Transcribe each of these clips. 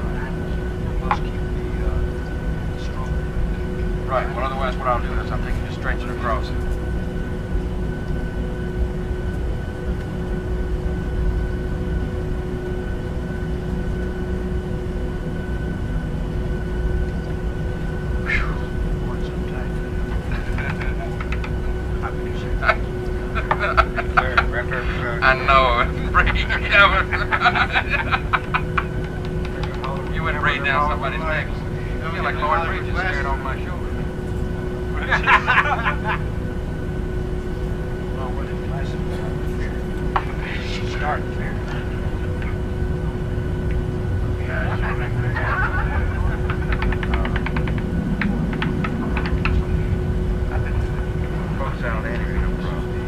Right, well otherwise what I'll do is I'm thinking of stretching across. the crossing. Whew, boy, I know, breaking Kevin. you wouldn't down somebody's neck. I feel like Lord Bridges staring over my shoulder. Start there. out anyway,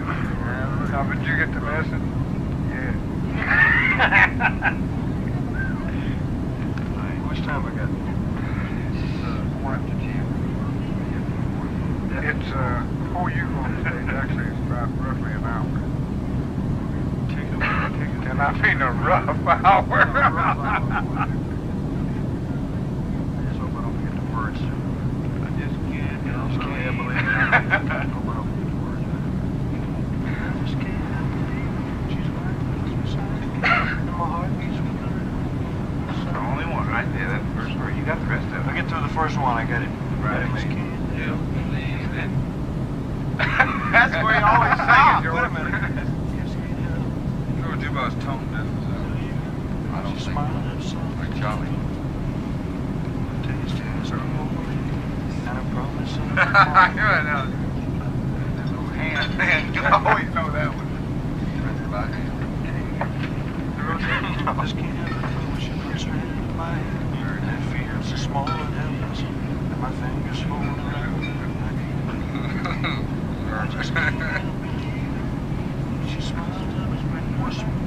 How did you get the message? Yeah. Which time I got? It's, uh, yeah. it's uh, before you go stage, actually, it's about roughly an hour. Take a, take a, and I mean a rough hour. I I don't to I just can't. I it. I the just can't believe it. She's right there beside me. And my heart only one right there. That first word. You got the rest of it. I get through the first one. I got it. Right. I just can't. Yeah. Believe it. That's where you always sing it, George. Wait a minute. George Dubois' tone deaf. I don't she think. Smiled at Like Charlie. I promise. I know. There's no hand. Man, I always know that one. Right by hand. The road to this can, which is written in my hand. That fear is the small of heavens, and my fingers hold around. I can't believe it. She smiled up and whispered.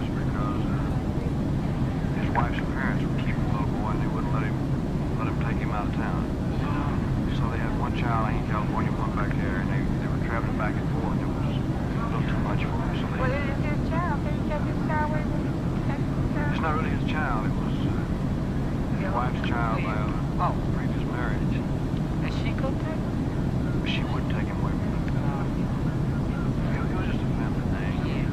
things because uh, his wife's parents were keeping the little boy and they wouldn't let him let him take him out of town. So they had one child in California, one back there, and they, they were traveling back and forth. It was a little too much for him. So they, well, it is his child. They kept his child away from his child. It's not really his child. It was uh, his yeah. wife's child by a oh. previous marriage. And she could take him? She would take him away from him. Uh, it, it was just a family thing. Yeah.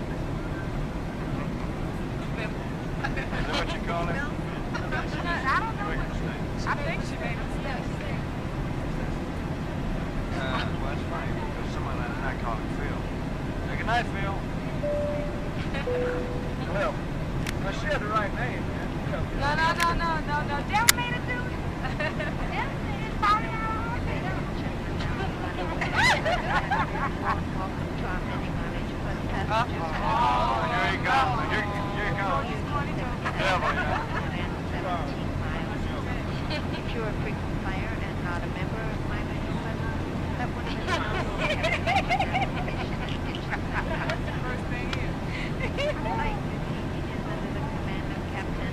Is that what you call it do think she made it. Sorry, I don't Huh? Oh, here you go. Here, here you go. Yeah, boy, yeah. If you're a frequent flyer and not a member of my major that would be the first thing is. Flight 15 is under the command of Captain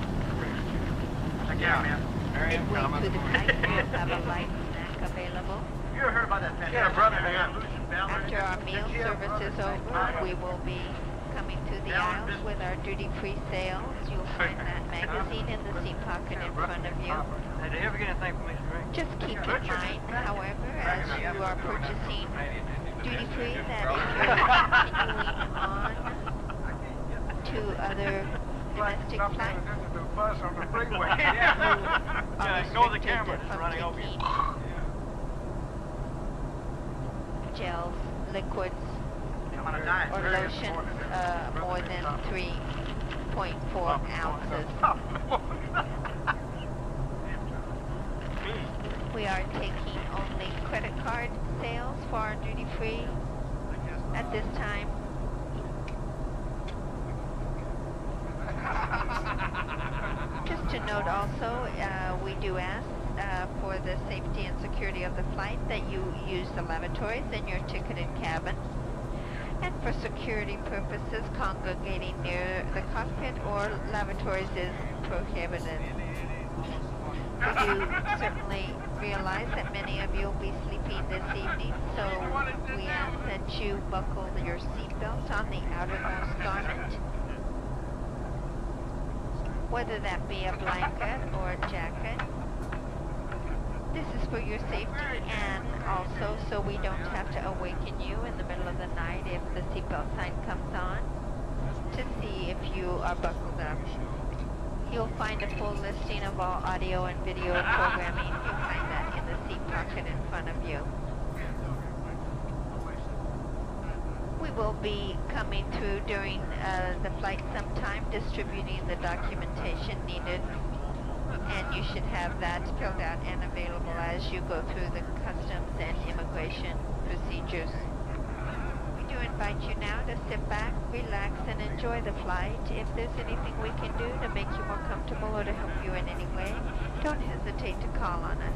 Check yeah. out, man. snack available. You heard about that yeah, brother, After our meal service is over, we will be coming to the aisles with our duty-free sales. You'll find that magazine in the seat pocket in front of you. Did you ever get anything from Just keep in mind, however, as you are purchasing duty-free, that if you on two other plastic bags. I flights who are restricted from taking gels, liquids, or lotions uh, more than 3.4 ounces. We are taking only credit card sales for duty free at this time. Just to note also, uh, we do ask uh, for the safety and security of the flight that you use the lavatories in your ticketed cabin. And for security purposes, congregating near the cockpit or lavatories is prohibited do certainly realize that many of you will be sleeping this evening, so we ask that you buckle your seatbelt on the outermost garment, whether that be a blanket or a jacket. This is for your safety and also so we don't have to awaken you in the middle of the night if the seatbelt sign comes on to see if you are uh, buckled up. You'll find a full listing of all audio and video programming. You'll find that in the seat pocket in front of you. We will be coming through during uh, the flight sometime distributing the documentation needed and you should have that filled out and available as you go through the customs and immigration procedures. We do invite you now to sit back, relax, and enjoy the flight. If there's anything we can do to make you more comfortable or to help you in any way, don't hesitate to call on us.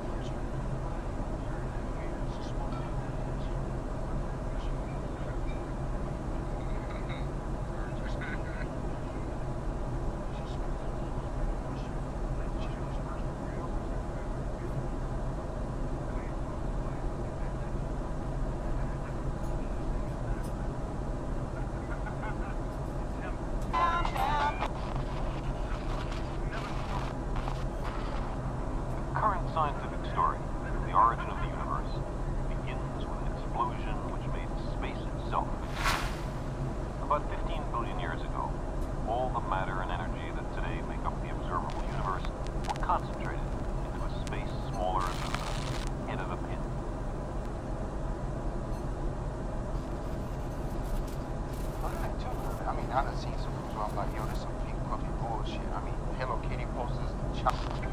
Never. The current scientific story, of the origin of the universe, begins with an explosion which made space itself. About 15 billion years ago, all the matter and energy that today make up the observable universe were concentrated into a space smaller than the head of a pin. I mean, how does he so I'm like, yo, this some pink puppy bullshit. I mean, Hello Kitty posters and chocolate.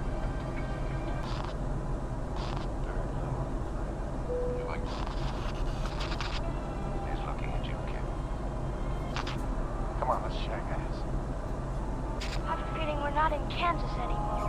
Come on, let's shag ass. I have a feeling we're not in Kansas anymore.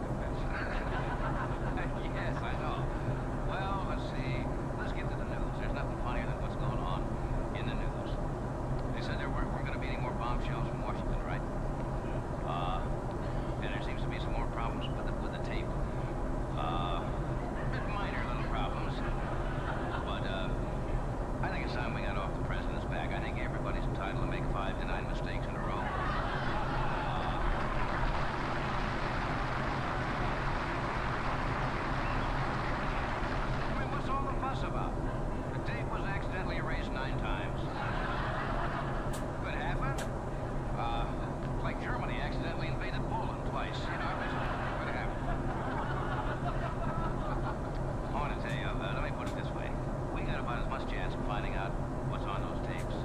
Baptist Convention. yes, I know. Well, let's see. Let's get to the news. There's nothing funnier than what's going on in the news. They said there were, we're going to be any more bombshells from Washington, right? Uh, and there seems to be some more problems with the, with the tape. Uh, minor little problems. But uh, I think it's time we got off the president's back. I think everybody's entitled to make five tonight mistakes in a row. I mean, what's all the fuss about? The tape was accidentally erased nine times. Could happen. Um, like Germany accidentally invaded Poland twice. You know, could happen. I want to tell you, uh, let me put it this way. We got about as much chance of finding out what's on those tapes,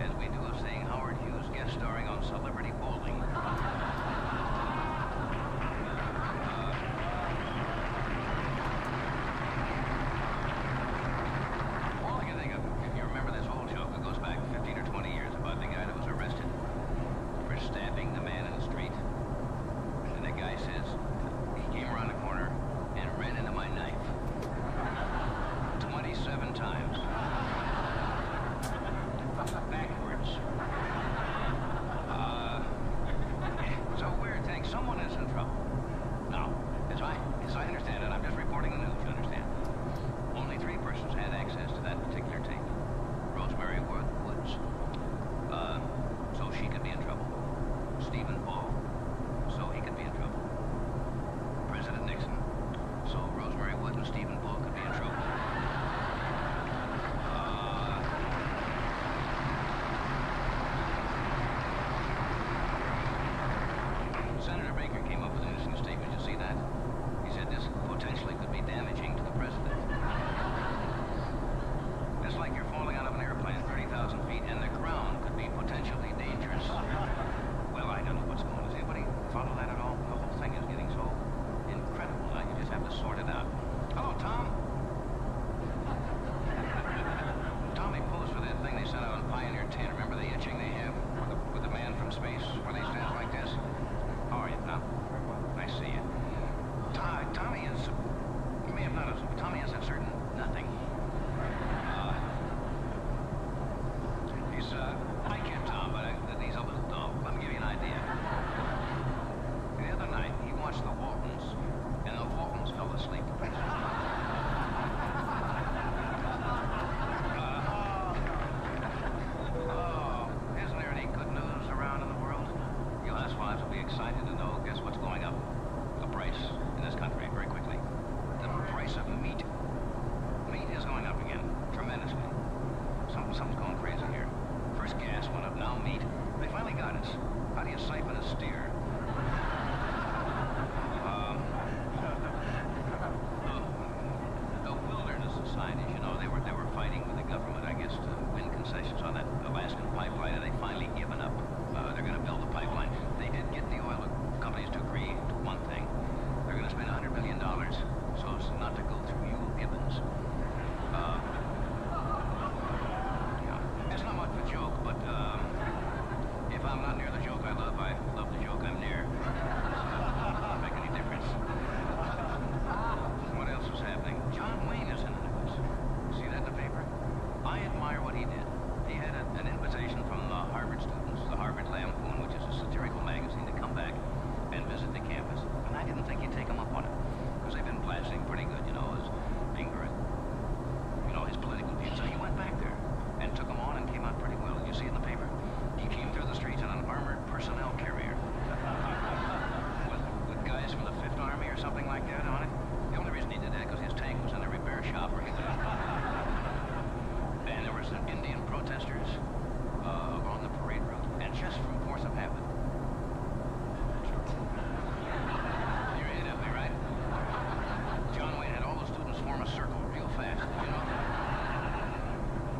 as we do of seeing Howard Hughes guest starring on Celebrity Bowling. Uh, all I think if you remember this old joke, it goes back 15 or 20 years about the guy that was arrested for stabbing the man in the street. And the guy says, he came around corner and ran into my knife. 27 times. Backwards. Uh, it's weird thing. Someone is in trouble. No, as I, as I understand it, I'm just reporting the news, you understand. Only three persons had access to that particular tape. Rosemary Worth Woods. Uh, so she could be in trouble. Stephen Paul. So he be in trouble. President Nixon. So Rosemary Wood and Stephen Bull could be in trouble. Uh, Senator Baker came up with an interesting statement. You see that? He said this potentially could be damaging to the president. It's like you're falling out of an airplane 30,000 feet and the ground could be potentially dangerous. well, I don't know what's going on. Does anybody follow that at all? The whole thing is getting so incredible now. You just have to sort it out. Hello, Tom. Tommy posed for that thing they sent out on Pioneer 10. Remember the itching they have with the, man from space where they stand like this? How are you, Tom? Very well. Nice to see you. Tom, Tommy is... You may have noticed, Tommy is a certain Nothing. Uh, he's, uh, I can't tell but uh, he's a little dog. Let me give you an idea. The other night, he watched the Waltons, and the Waltons fell asleep. Uh, oh, oh, isn't there any good news around in the world? wives be excited to know, guess what's going up? The price in this country very quickly. The price of meat. Meat is going up again, tremendously. Something, something's going crazy here. First gas went up, now meat. They finally got us. How do you siphon a steer? um, the, the wilderness societies, you know, they were they were fighting with the government, I guess, to win concessions on that Alaskan pipeline, and they finally given up. Uh, they're going to build the pipeline. They did get the oil companies to agree to one thing. They're going to spend $100 million so as not to go through you, Gibbons. Uh, yeah. It's not much of a joke, but uh, if I'm not near the joke I love, I love the joke I'm near. Doesn't make any difference. what else was happening? John Wayne is in the news. See that in the paper? I admire what he did. He had an invitation from the Harvard students, the Harvard Lampoon, which is a satirical magazine, to come back and visit the campus. And I didn't think he'd take him up on it, because they've been blasting pretty good, you know, as anger and, you know, his political views. So he went back there and took him on and came out pretty well. you see in the paper, he came through the streets in an armored personnel carrier. with, with guys from the Fifth Army or something like that on it. The only reason he did that was his tank was in a repair shop or anything. And there was the Indian protesters uh, the parade route, and just from force of habit. You're in Italy, right? John Wayne had all the students form a circle real fast,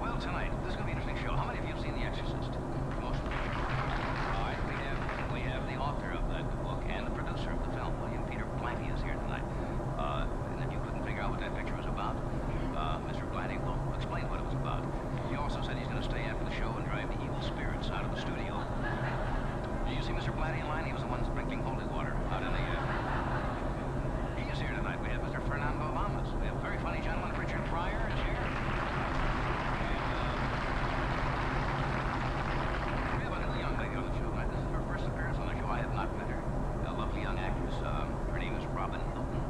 Well, tonight, this is going to be an interesting show. How many of you have seen The Exorcist? Most of you. All right, we have, we have the author of the book and the producer of the film, William Peter Mr. is here tonight. Uh, and then you couldn't figure out what that picture was about, uh, Mr. Blanty will explain what it was about. He also said he's going to stay after the show and drive the evil spirits out of the studio. Did you see Mr. Blanty in line? He was the one sprinkling holy water out in the... air. Uh, he is here tonight. We have Mr. Fernando Lamas. We have a very funny gentleman, Richard Pryor, is here. we have a little young lady on the show tonight. This is her first appearance on the show. I have not met her. A lovely young actress. Um, her name is Robin Hilton.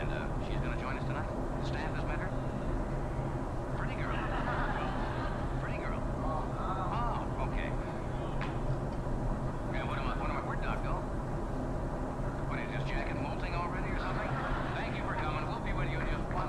And uh, she's going to join us tonight. The staff has met her. Pretty girl. Pretty girl. Oh, okay. And what am I, what am I, where'd Doc go? What is this jacket molting already or something? Thank you for coming. We'll be with you in just one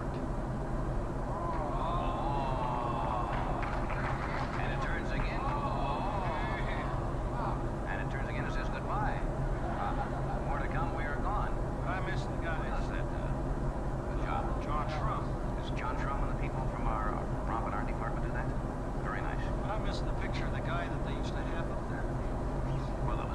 And it turns again. And it turns again and says goodbye. Uh, more to come, we are gone. I miss the guys that, uh, Good job. John Shrum. Is John Shrum and the people from our uh, prop our department do that? Very nice. But I miss the picture of the guy that they used to have up there. Well,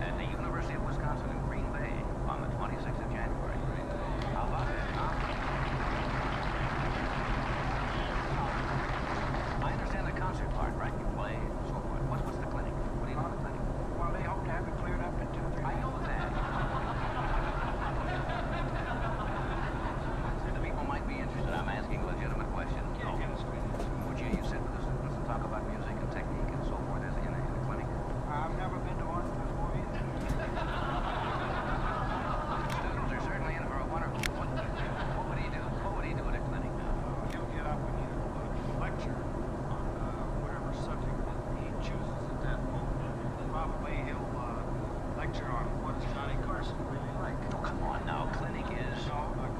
at the University of Wisconsin in Green Bay on the 26th of January. How about it? I understand the concert part, right? play, so What's, the clinic? What do you know the clinic? Well, they hope to have it cleared up in two, I know that. the people might be interested. I'm asking legitimate questions. Would would would you sit with and and and talk about music technique so forth clinic? clinic? I've never been to Austin before. in a What What do? do He'll get up uh, lecture on uh, whatever subject he he'll chooses at that moment, probably uh, lecture on what is Johnny Carson really like. Oh, come on now. Clinic is...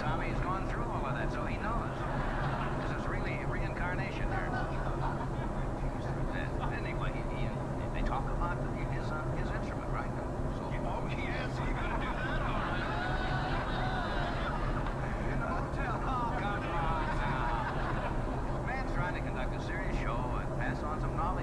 Tommy's gone through all of that, so he knows. This is really reincarnation here. And anyway, he, he, they talk about his, uh, his instrument, right? So, oh, yes, he's going to do that, In the hotel. Oh, come on now. Man's trying to conduct a serious show and pass on some knowledge.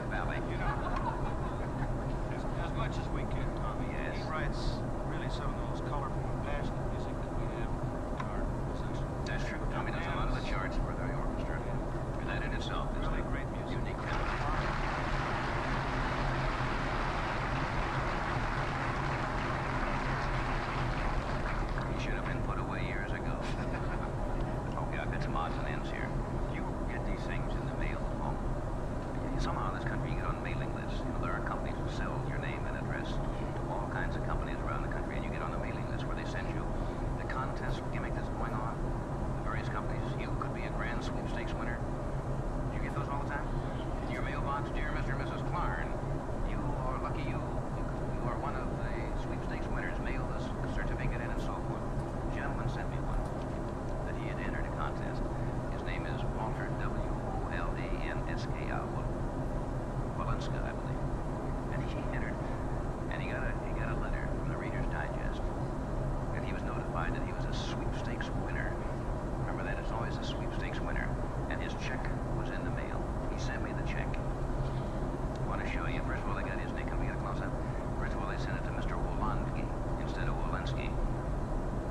that valley. You know, as, as much as we can, Tommy. Yes. He writes really some of the most colorful and passionate music that we have in our possession. That's true. Tommy does a lot of the charts for the orchestra, yeah. and that in itself is really great music. Unique. He should have been put away years ago. okay, I've got some odds and ends here. You get these things in the mail at home. Somehow in this country you get on mailing lists. You know, there are companies that sell your name and address to all kinds of companies around the country, and you get on the mailing list where they send you the contest gimmick that's going on. Various companies. You could be a grand sweepstakes winner. Do you get those all the time? In your mailbox, dear Mr. and Mrs. Clarn, you are lucky you. You are one of the sweepstakes winners. Mail this certificate and so forth gentleman sent me one that he had entered a contest. His name is Walter W. O L A N S K I Walenska, I believe. And he entered, and he got a he got a letter from the Reader's Digest, and he was notified that he was a sweepstakes winner. Remember that it's always a sweepstakes winner, and his check was in the mail. He sent me the check. I want to show you. First of all, I got that, Can we get a close-up? Ridgewell, they sent it to Mr. Wolanski instead of Wolenski.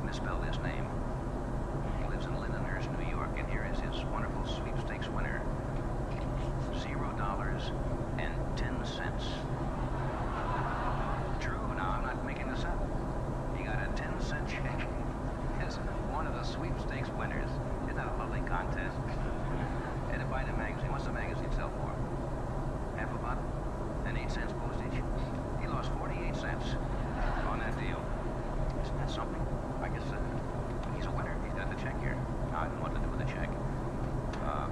Misspell his name. He lives in Lindenhurst, New York, and here is his wonderful sweepstakes winner. Zero dollars and ten cents. True, now I'm not making this up. He got a ten cent check He's one of the sweepstakes winners. is that a lovely contest? And to magazine, what's the magazine sell for? Half a bottle? And eight cents postage? He lost 48 cents on that deal. Isn't that something? I guess uh, he's a winner. He's got the check here. I don't know what to do with the check. Uh,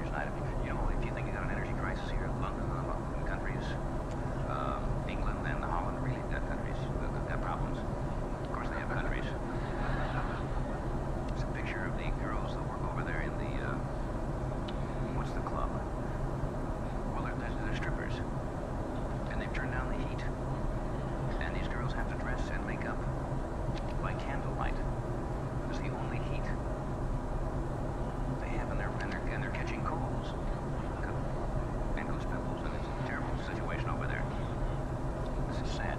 here's an item. You know, if you think you got an energy crisis here, London, the uh, countries, England and Holland really got countries, got problems. Of course, they have countries. It's a picture of the girls that work over there in the, uh, what's the club? Well, they're, they're, they strippers. And they've turned down the heat. And these girls have to dress and make up by candlelight. It's the only heat they have, in their are and they're, catching colds. And goose pimples, and it's a terrible situation over there. This sad,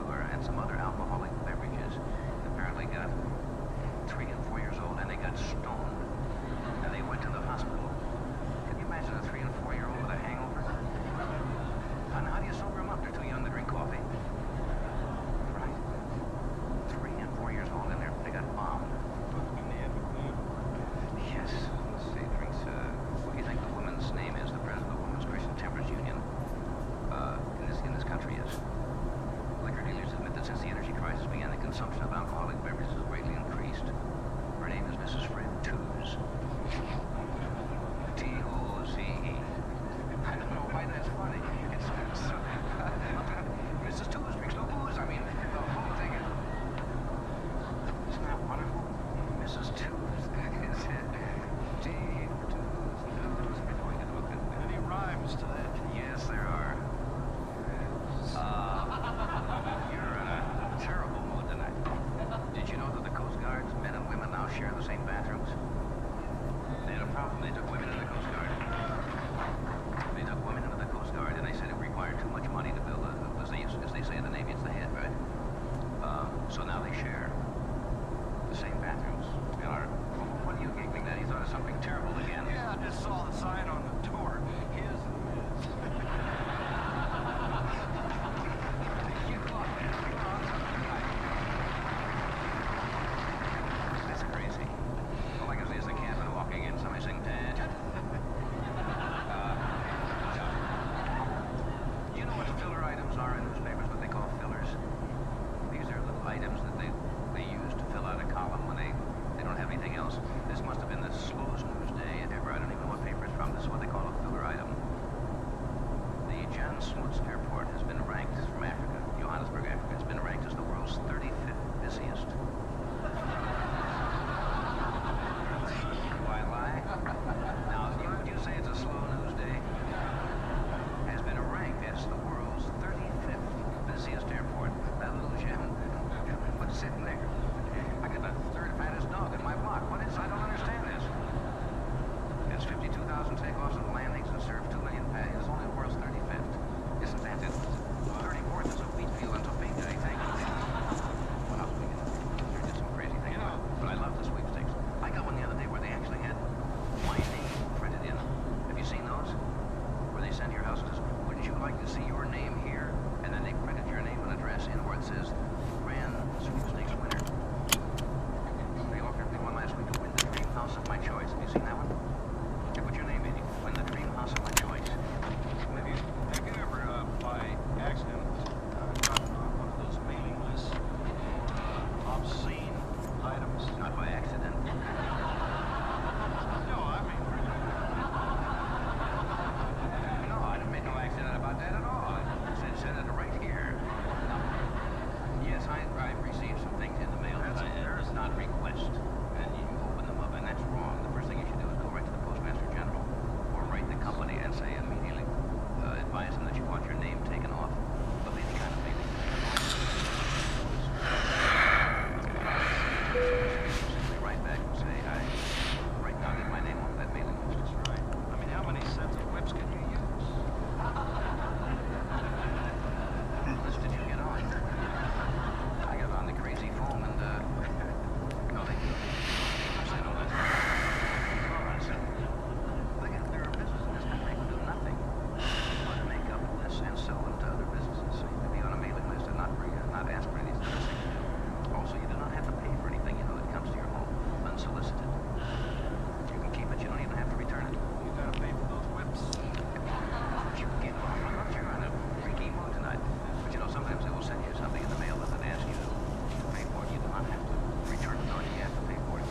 and some other alcoholic beverages. Apparently got three and four years old, and they got stoned. And they went to the hospital. Can you imagine a three and four year old with a hangover? And how do you sober them up? They're too young to drink coffee. Right? Three and four years old, and they got bombed. Yes. Let's see, drinks, uh, what do you think the woman's name is, the president of the Women's Christian Temperance Union? Uh, in, this, in this country is. Liquor dealers admit that since the energy crisis began, the consumption of alcoholic beverages has greatly increased. Her name is Mrs. Fred Tooze. T-O-Z-E. I don't know why that's funny. It's, it's Mrs. Uh, Tooze drinks no booze. I mean, the whole thing is... not that wonderful? Mrs. Tooze. T-Tooze. Yes, there are. you're in a terrible mood tonight. Did you know that the Coast Guard's men and women now share the same bathrooms? They had a problem. They took women in the Coast Guard. They took women into the Coast Guard, and they said it required too much money to build a... As they, as they say in the Navy, it's the head, right? Uh, so now they share. The same bathrooms. Miller, what are you giggling at? He's thought something terrible again. Yeah, I just saw the sign on the door. His and his. That's crazy. I can say is I can walking in. Somebody saying, Dad. Uh, you know what filler items are in newspapers, what they call fillers. These are little items that they, they use to fill out a column when they, they don't have anything else. This must have been the slowest news day ever. I don't even know what paper it's from. This is what they call a filler item. The John Smuts Airport has been ranked from Africa, Johannesburg, Africa, has been ranked as the world's 35th busiest. Why lie? Now, you say it's a slow news day? Has been ranked make the world's 35th busiest airport. Hallelujah. What's sitting there? I got the third fattest dog in my block. What is I don't understand this. It's 52,000 takeoffs and landings and serves 2 million passengers. only the world's 35th. Isn't that it? 34th is a wheat field in Topeka, I think. What else we got? some crazy thing, but I love the sweepstakes. I got one the other day where they actually had lightning. Have you seen those? Where they send your houses? wouldn't you like to see your name here? And then they printed your name and address in where it says, Grand Sweepstakes winner. They offered me one last week to win the dream house of my choice. Have you seen that one? They put your name in it. Win the dream house of my choice. Have you, have ever, uh, by accident, uh, on one of those mailing lists or uh, obscene items. Not by accident. no, I mean, really. No, I made no accident about that at all. It's incentive right here. Yes, I, I've received some things in the mail that's that I did not request. And you open them up, and that's wrong. The first thing you should do is go right to the Postmaster General or write the company and say immediately, uh, that you want your name taken off. But be kind of baby simply write back and say, I right now get my name off that mailing list. I mean, how many sets of whips can you use? How much did you get on? I got on the crazy foam and, uh, no, they do. I know that. All right, so, again, there are businesses that make do nothing. They want to make up lists and sell them to other businesses. So you could be on a mailing list and not, bring, uh, not ask for anything. Also, you do not have to pay for anything, you know, that comes to your home unsolicited. You can keep it, you don't even have to return it. You gotta pay for those whips. You get one. I'm not sure on a freaky mood tonight. But you know, sometimes they will send you something in the mail that they ask you to pay for it. You do not have to return it, nor do you have to pay for it.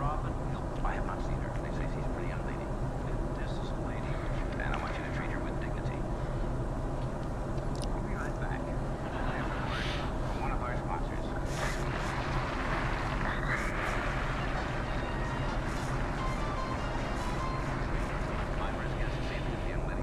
Oh, I have not seen her. They say she's a pretty young lady. This is a lady. And I want you to treat her with dignity. I'll be right back. one of our sponsors. My first guest this evening is young lady.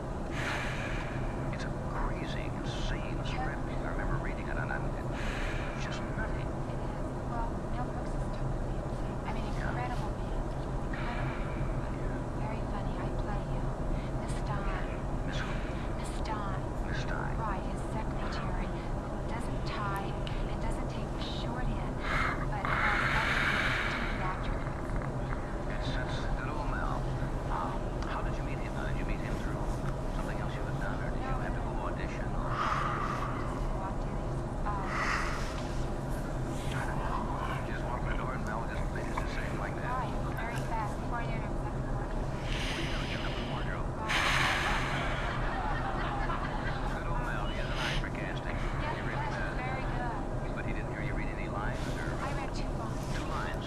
It's a crazy, insane script. I remember reading it and I'm just nutty. Well, Mel Brooks is totally insane. I mean, incredible man. Incredible. Very funny. I play you, Miss Don. Miss Don. Miss Don. Right, his secretary, who doesn't tie and doesn't take the shorthand, but uh, that's an actor. It's, it's Lou Mel. Uh, how did you meet him? you, you meet him through something else you had done, or did you have to go audition? just walk in the door and Mel just, they just say like that. very fast. Before I knew it, I Casting. Yes, he really does. Very good. But he didn't hear you read any lines or... I read two lines. Two lines.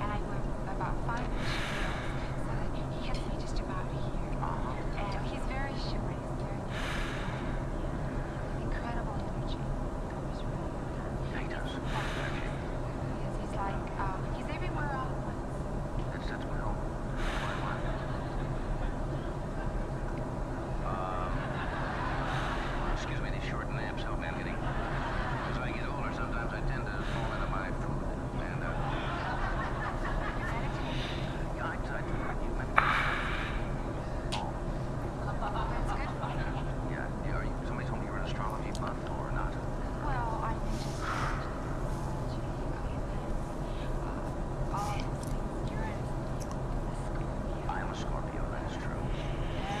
and I went about five miles, so that he gets me just about here. And he's very sure, he's very incredible energy. He does. He's, like, um, he's everywhere That's, that's my hope. Um, excuse me, these short naps help me. getting, as I get older, sometimes I tend to fall into my food. And, uh, yeah, I tried to argue my That's good Yeah, are you, somebody told me you were an astrology buff or not. Well, I think just astrology you're a I am a Scorpio, that is true. Yeah,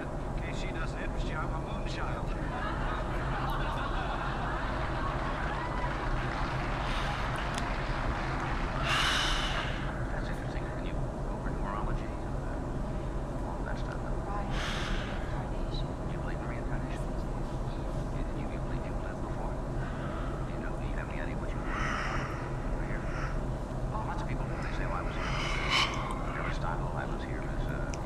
In case she doesn't interest you, I'm a moonchild. That's interesting. Can you over numerology all that stuff? Right. Reincarnation. You believe in reincarnation? You, you, believe you've before? Do you know, do you have any idea what you were here? Lots of people, they say, I was here. Aristotle, I was here as,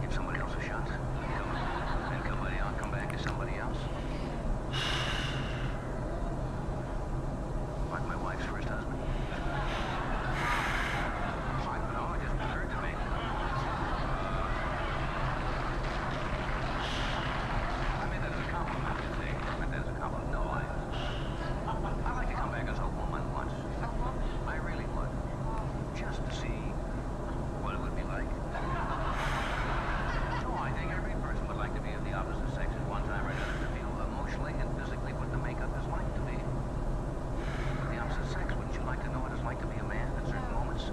Give somebody else a shot. Then come by, i come back to somebody else. Like my wife's first husband. I don't know, it just occurred to me. I meant that a compliment, you see. I meant a compliment. No, I'd like to come back as a woman once. I really would just to see what it would be like. so I think every person would like to be of the opposite sex at one time or another to feel emotionally and physically what the makeup is like to be. the opposite sex, would you like to know what it's like to be a man at certain moments?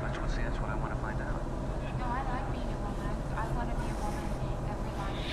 That's what, that's what I want to find out. No, I like being a woman. I want to be a woman every life.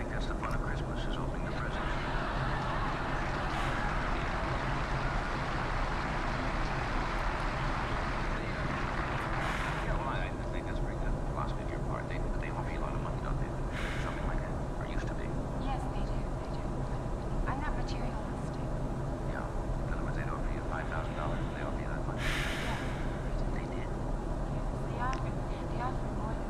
I think that's the fun of Christmas, is opening the presents. Yeah, well, I, I think that's very good philosophy on your part. They, they offer you a lot of money, don't they? Something like that, or used to be. Yes, they do, they do. I'm not materialistic. Yeah, in they'd offer you $5,000 they offer you that much. Yes, they did. Yes, they offered, they offered more than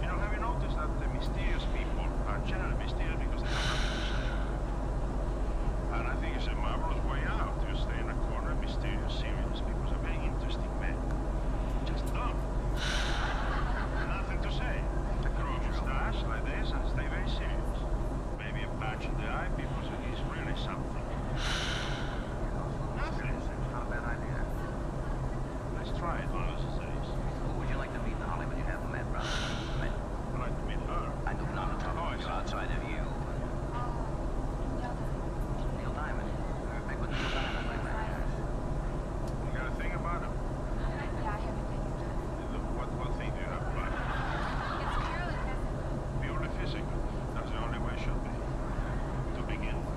You know, have you noticed that the mysterious people are generally mysterious because they don't have to say? And I think it's a marvelous way out. to stay in a corner, mysterious, serious, because a very interesting man. Just dumb. Nothing to say. A grow a mustache like this and stay very serious. Maybe a patch in the eye because it is really something. Nothing. Not a bad idea. Let's try it one of those days. Who oh, would you like to meet in Hollywood you haven't met, brother? I'd like to meet her. I do not have trouble with outside of you. Neil Diamond. You're big with Neil Diamond lately. You got a thing about him? Yeah, I what, what thing do you have about him? It's Purely physical. That's the only way it should be. To begin with.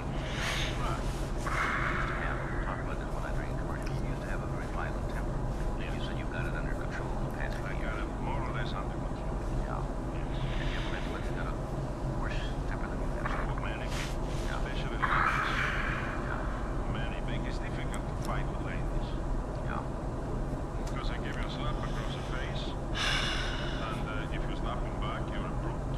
Used to to have you've you've a a very violent temper. temper You you said got it under under control control. in the the past More or less And with with Worse than Man, it's difficult fight ladies. Because I give slap across face, uh, if you're snapping Back, you're a broke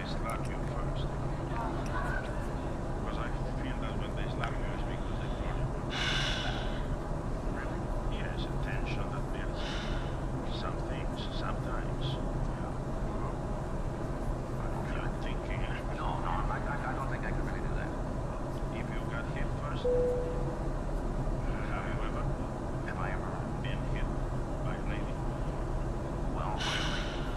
they slap you first. Because I feel that when they slap you, it's because they want you Yes, yeah, that builds some things sometimes. No, no, I, I, don't think I could really do that. If you got hit first, Have I ever been hit by a lady? Well, really.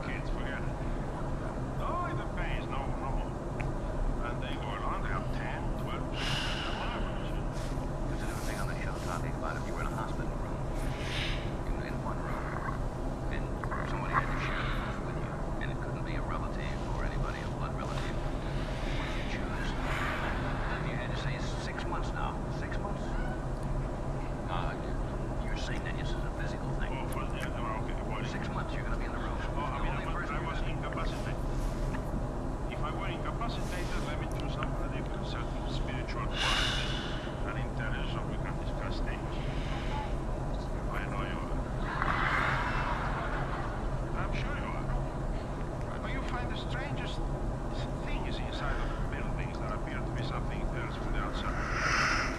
kids, forget it. Only oh, the fans know no And they go along, they have 10, 12, they're marvelous. on the show talking about if you were in a hospital room. in one room. Then somebody had to share with you. And it couldn't be a relative or anybody, a blood relative. What you choose? Then you had to say six months now. Six months? Uh, you're saying that this is a business. Oh, for the, okay. Six months, you're going to be in the room. Oh, I mean, I was, I was incapacitated. If I were incapacitated, let me do somebody with a certain spiritual quality and intelligence so we can discuss things. I know you are. I'm sure you are. But you find the strangest things inside of buildings that appear to be something else from the outside.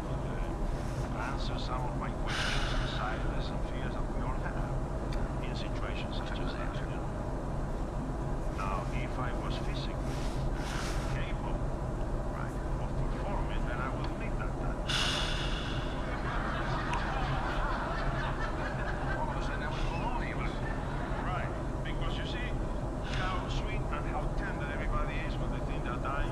answer some of my questions and desires and fears that we all have in situations such as that. Now, if I was physically capable right, of performing, then I would make that time. Right, because you see how sweet and how tender everybody is when they think they're dying.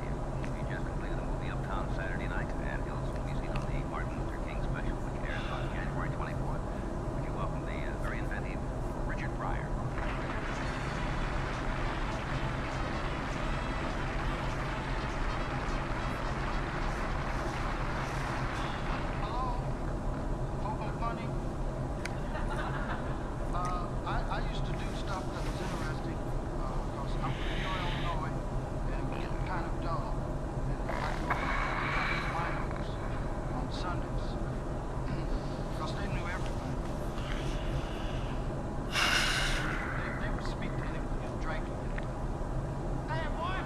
We just completed a movie Uptown Saturday night at Hills will be seen on the Martin Luther King special, which airs on January 24th. Would welcome the uh, very inventive Richard Pryor? Hello? Hobo Bunny? Uh, I, I used to do stuff that was interesting because uh, I'm from Illinois and it was getting kind of dull. And I grew up in wineries on Sundays because they knew everybody. They, they would speak to anyone and drink to anybody. Hey, boy,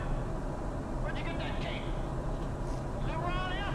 where'd you get that cake? Is it around here?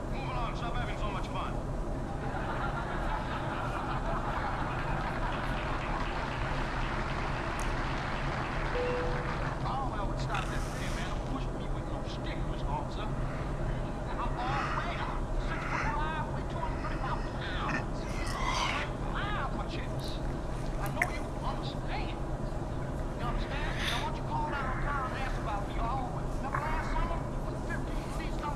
Move along. stop having so much fun. Caldwell would stop that man push me with no stick, Mr. Officer. I'm all way out. Six foot five, weigh 230 pounds. Fly out my chips. I know you understand. understand? don't you call down town and ask about me? Oh, remember last summer? 15 seats, come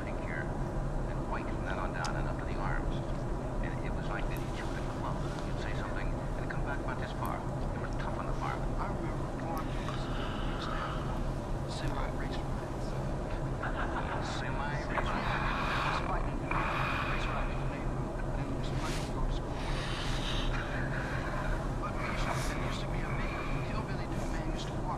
opening here, and white from that on down and up to the arms. And it was like this chewed a club. You'd say something, and come back about this far. They were tough on the bar, but I remember going to this reach down. Semi race riots. Semi race riots. Despite race riots in the neighborhood, and despite the go to school. but Bishop, there used to be a man, Hillbilly Dude Man used to walk.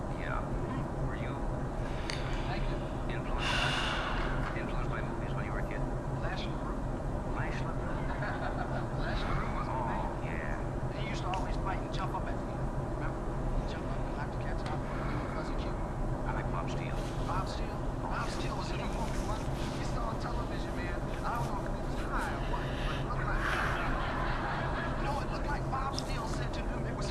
Yeah. Were you influenced influenced by movies when you were a kid? Les Leroux. Les Leroux. Les Leroux was oh, Yeah. He used to always bite and jump up at me. Remember? jump up and knock the cats out. was fuzzy cute. I like Bob Steele. Bob Steele. Bob Steele was a movie once. He's still on television, man. I don't know if he was high or what, but it looked like. You it looked like Bob Steele said to him it was.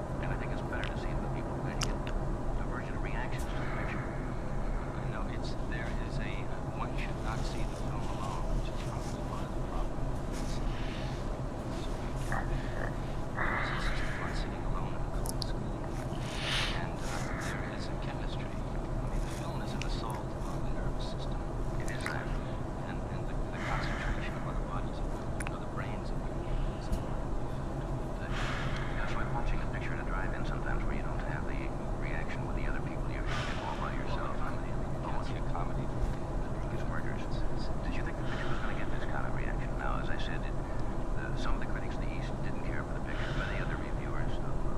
and I think it's better to see the people who get divergent reactions to the picture. No, it's there is a one should not see the film alone, which is probably one of the problem. It's, so because it's just fun sitting alone in a and uh, there is a chemistry. I mean, the film is the soul on the nervous system. It is that, and and the, the concentration of other bodies. Uh, were the brains of your games. That's like watching a picture at a drive-in sometimes where you don't have the reaction with the other people. You're all by yourself. Oh, what's your comedy? It's murders. Did you think the picture was going to get this kind of reaction? Now, as I said, it, the, some of the critics in the East didn't care for the picture. Many other reviewers of uh,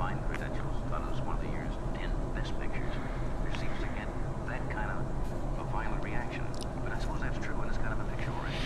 fine credentials thought it was one of the year's 10 best pictures. There seems to get that kind of a violent reaction. But I suppose that's true, and it's kind of a picture already.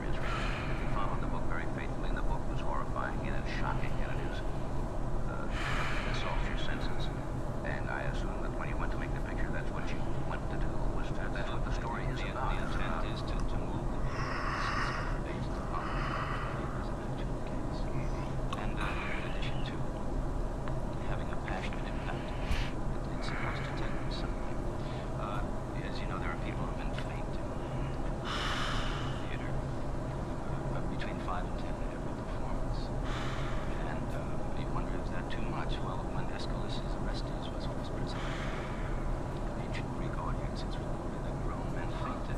picture is written. If you follow the book very faithfully, and the book was horrifying, and it's shocking, and it is, uh, it assaults your senses. And I assume that when you went to make the picture, that's what you went to do, was to, that's what the story is about. The intent is to, to move the based on the presidential case. And uh, in addition to having a passionate impact, it's supposed to take something. Uh, as you know, there are people who have been faked in theater. Uh, uh, between five and ten at every performance. And uh, you wonder, if that's too much? Well, when Aeschylus' Orestes was first presented, the ancient Greek audience, it's reported that grown men fainted.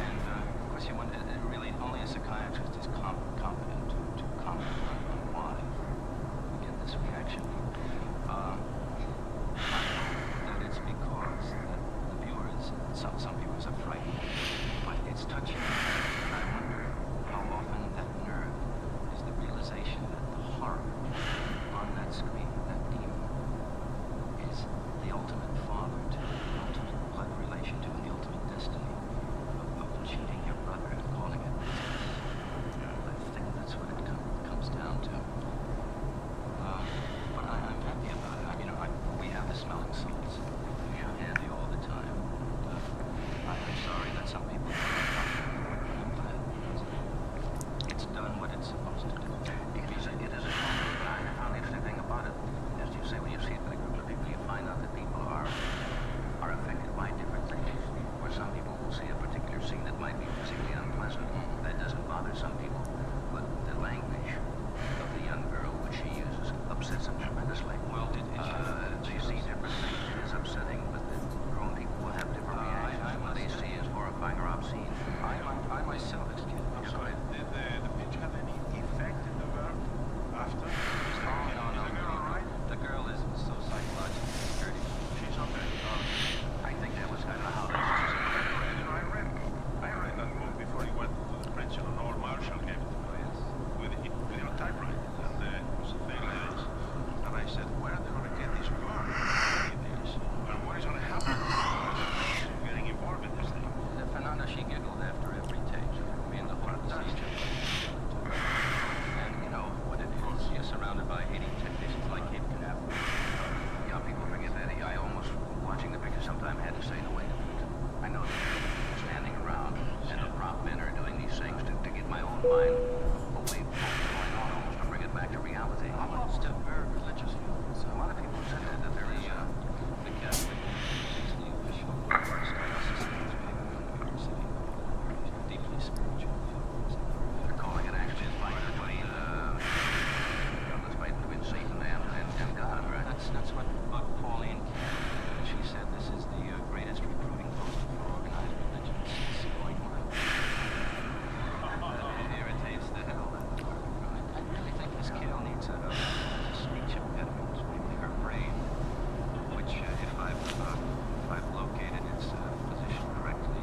And uh, of course, you wonder, really, only a psychiatrist is competent to, comment on why we this reaction. I That it's because the, the viewers, some, some viewers are frightened, but it's touching. And I wonder how often that nerve is the realization that the horror on that screen, that demon, is the ultimate father to the ultimate blood relation to the ultimate destiny of, cheating your brother and calling it. You know, I think that's what it comes down to. Uh, but I, I'm happy about it. I mean, I, we have the smelling salts. We have handy all the time. Uh, I, I'm sorry that some people don't I'm glad it it's done what it's supposed to do. It is a, it is a but I found the interesting thing about it, as you say, when you see it with a group of people, you find out that people are, are affected by different things. Where some people will see a particular scene that might be particularly unpleasant. That doesn't bother some people, but the language of the young girl which she uses upsets them tremendously. Well, did it, uh, they see different things. It is upsetting, but the grown people will have different uh, reactions. I, I what they see is horrifying or obscene. I, I, I myself, excuse me. I'm yeah, sorry. Did the, the pitch have any effect in the verb after? Is the, oh, no, no, the girl no. right? The girl is so psychologically dirty. She's okay. Um, I think that was kind of how this was. I read, I read. I read that book before he went to the bridge and Lord Marshall gave it to me, yes, with, with your typewriter. And uh, it was a thing like this. And I said, where are they going to get this car? And what is going to happen to getting involved in this thing? Uh, Fernanda, she giggled after every take. Me and the whole procedure. And you know what it is. You're surrounded by hating technicians like Cape Canaveral. Young people forget that. I almost Watching the picture sometime had to say, no, wait a minute. I know that people standing around and the prop men are doing these things to, to get my own mind away from what's going on, almost to bring it back to reality. Almost a very religious So a lot of people have said that, that are a... Uh, the Catholic is the official deeply spiritual. They're calling it actually by the way, the that's made between Satan and, and, and God, right? That's, that's what uh, Pauline, she said this is the uh, greatest recruiting poster for organized religion since going on. It irritates the hell out of her. I, really think this kid needs a, a speech impediment, maybe her brain, which uh, if I've, uh, if I've located its uh, position correctly,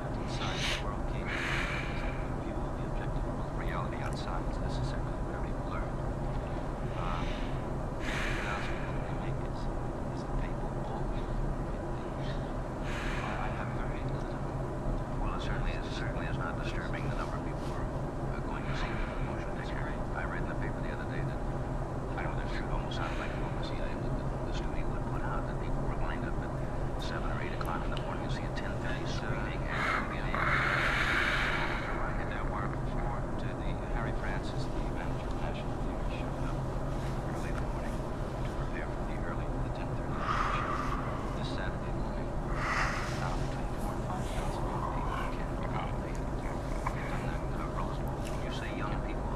trapped inside the world came a view of the objective world. Reality outside is necessarily very blurred. Um, the announcement that they make is, is that people always forget things. I, I haven't heard anything. Well, it certainly is, certainly is not disturbing the number of people who are uh, going to see the motion picture. I read in the paper the other day that, I know that's true, it almost sounded like you can see I, the, the studio would put out that people were lined up at 7 or 8 o'clock in the morning to see a 10-piece uh, act begin. I had that wire before to the Harry Francis, the manager of National Theater, showed up early in the morning to prepare for the early, the 10.30 show this Saturday morning. Now between 4 and 5 shots, maybe 8 can't. They've done that uh, Rose Bowl. When you say young people,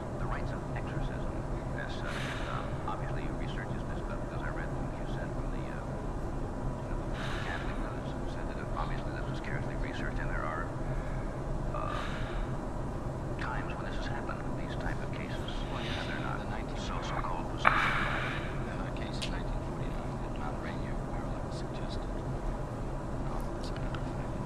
the rites of exorcism as such. Um, obviously, you research this stuff because I read what you said from the uh, you know, academy notes said that obviously this was scarcely researched, and there are uh, times when this has happened. These type of cases, well, yeah, they're not the so so-called. Uh, case in 1949 that Tom Rainier Maryland suggested. No, um,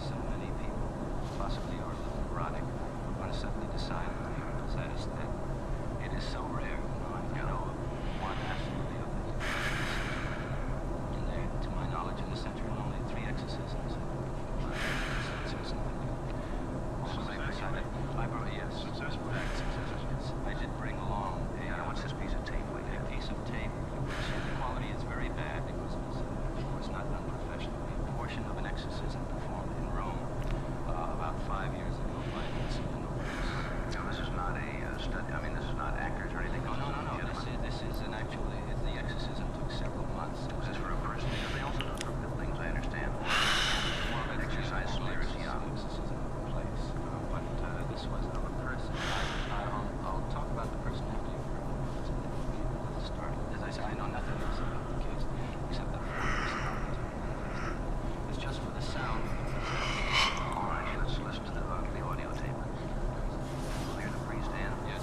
so many people, possibly are a little neurotic, are going to suddenly decide that the miracle is that it's that it is so rare. You know, one absolutely of it. And there, to my knowledge, in the center only three exorcisms. So it's nothing new. Also, so I decided, I brought, yes, I did bring along I want this piece of tape? Like a piece of tape, which the quality is very bad because exorcisms was not done professionally. A portion of an exorcism performed in Rome uh, about five years ago by Vincent de Nobis. Now, this is not a uh, study. I mean, this is not actors or anything. No, no, no, no. This is, this is an actually, the exorcism took several months. It was this for a person? Because they also do it for buildings, I understand. More of an exercise, exercise theory. Yeah. exorcism place. Uh, but uh, this was of a person. I, I, um, I'll talk about the personality for a moment. the us start. As I said, I know nothing else about the case except that it's just for the sound. All right, let's listen to the, uh, the audio tape. We'll hear the breeze, Yes,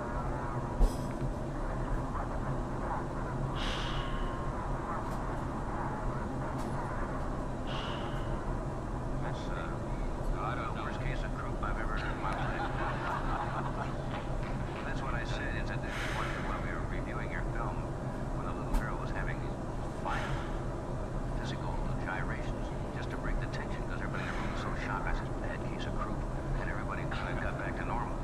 That's shock. I said, the the the the we were reviewing film when little girl was was having physical gyrations, just to break everybody in room so shocked by this bad case of croup. And everybody climbed got back to normal.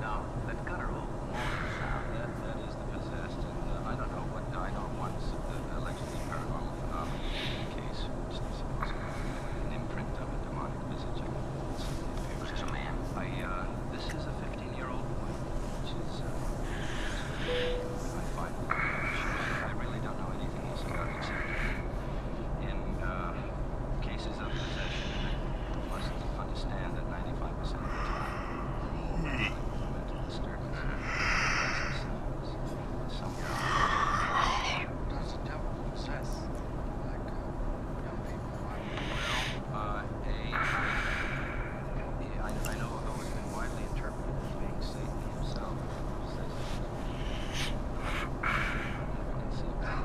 Now, that guttural moaning sound that, that is the possessed, and uh, I don't know what I know once the allegedly paranormal phenomenon case, for instance, was an imprint of a demonic visage. It's a man. I, uh, this is a 15-year-old boy, which is, uh, I find, I really don't know anything else about except him, uh, cases of possession must understand that 95% of the time, they mental disturbance. themselves with someone. Does the devil possess like uh, young people? Well, uh, a, I, I know although it's been widely interpreted as being Satan himself. Says, I can see that.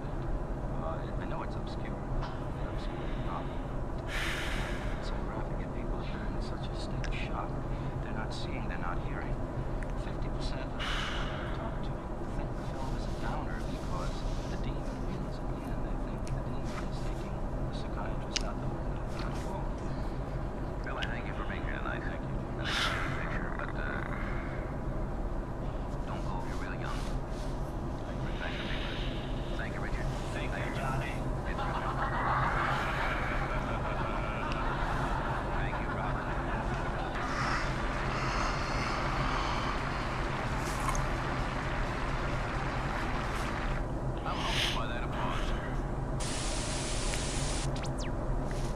Uh, I know it's obscure. They're obscure enough. It's so graphic and people are in such a state of shock. They're not seeing, they're not hearing. 50% of the people I talk to think the film is a downer because the demon wins at the end. They think the demon is taking the psychiatrist Not the window. Not cool. Billy, thank you for being here tonight. Thank you. An exciting picture, but uh, don't go if you're really young. Thank you, Richard. Thank you, Johnny. Thank you, Robin. I'm hoping by that applause,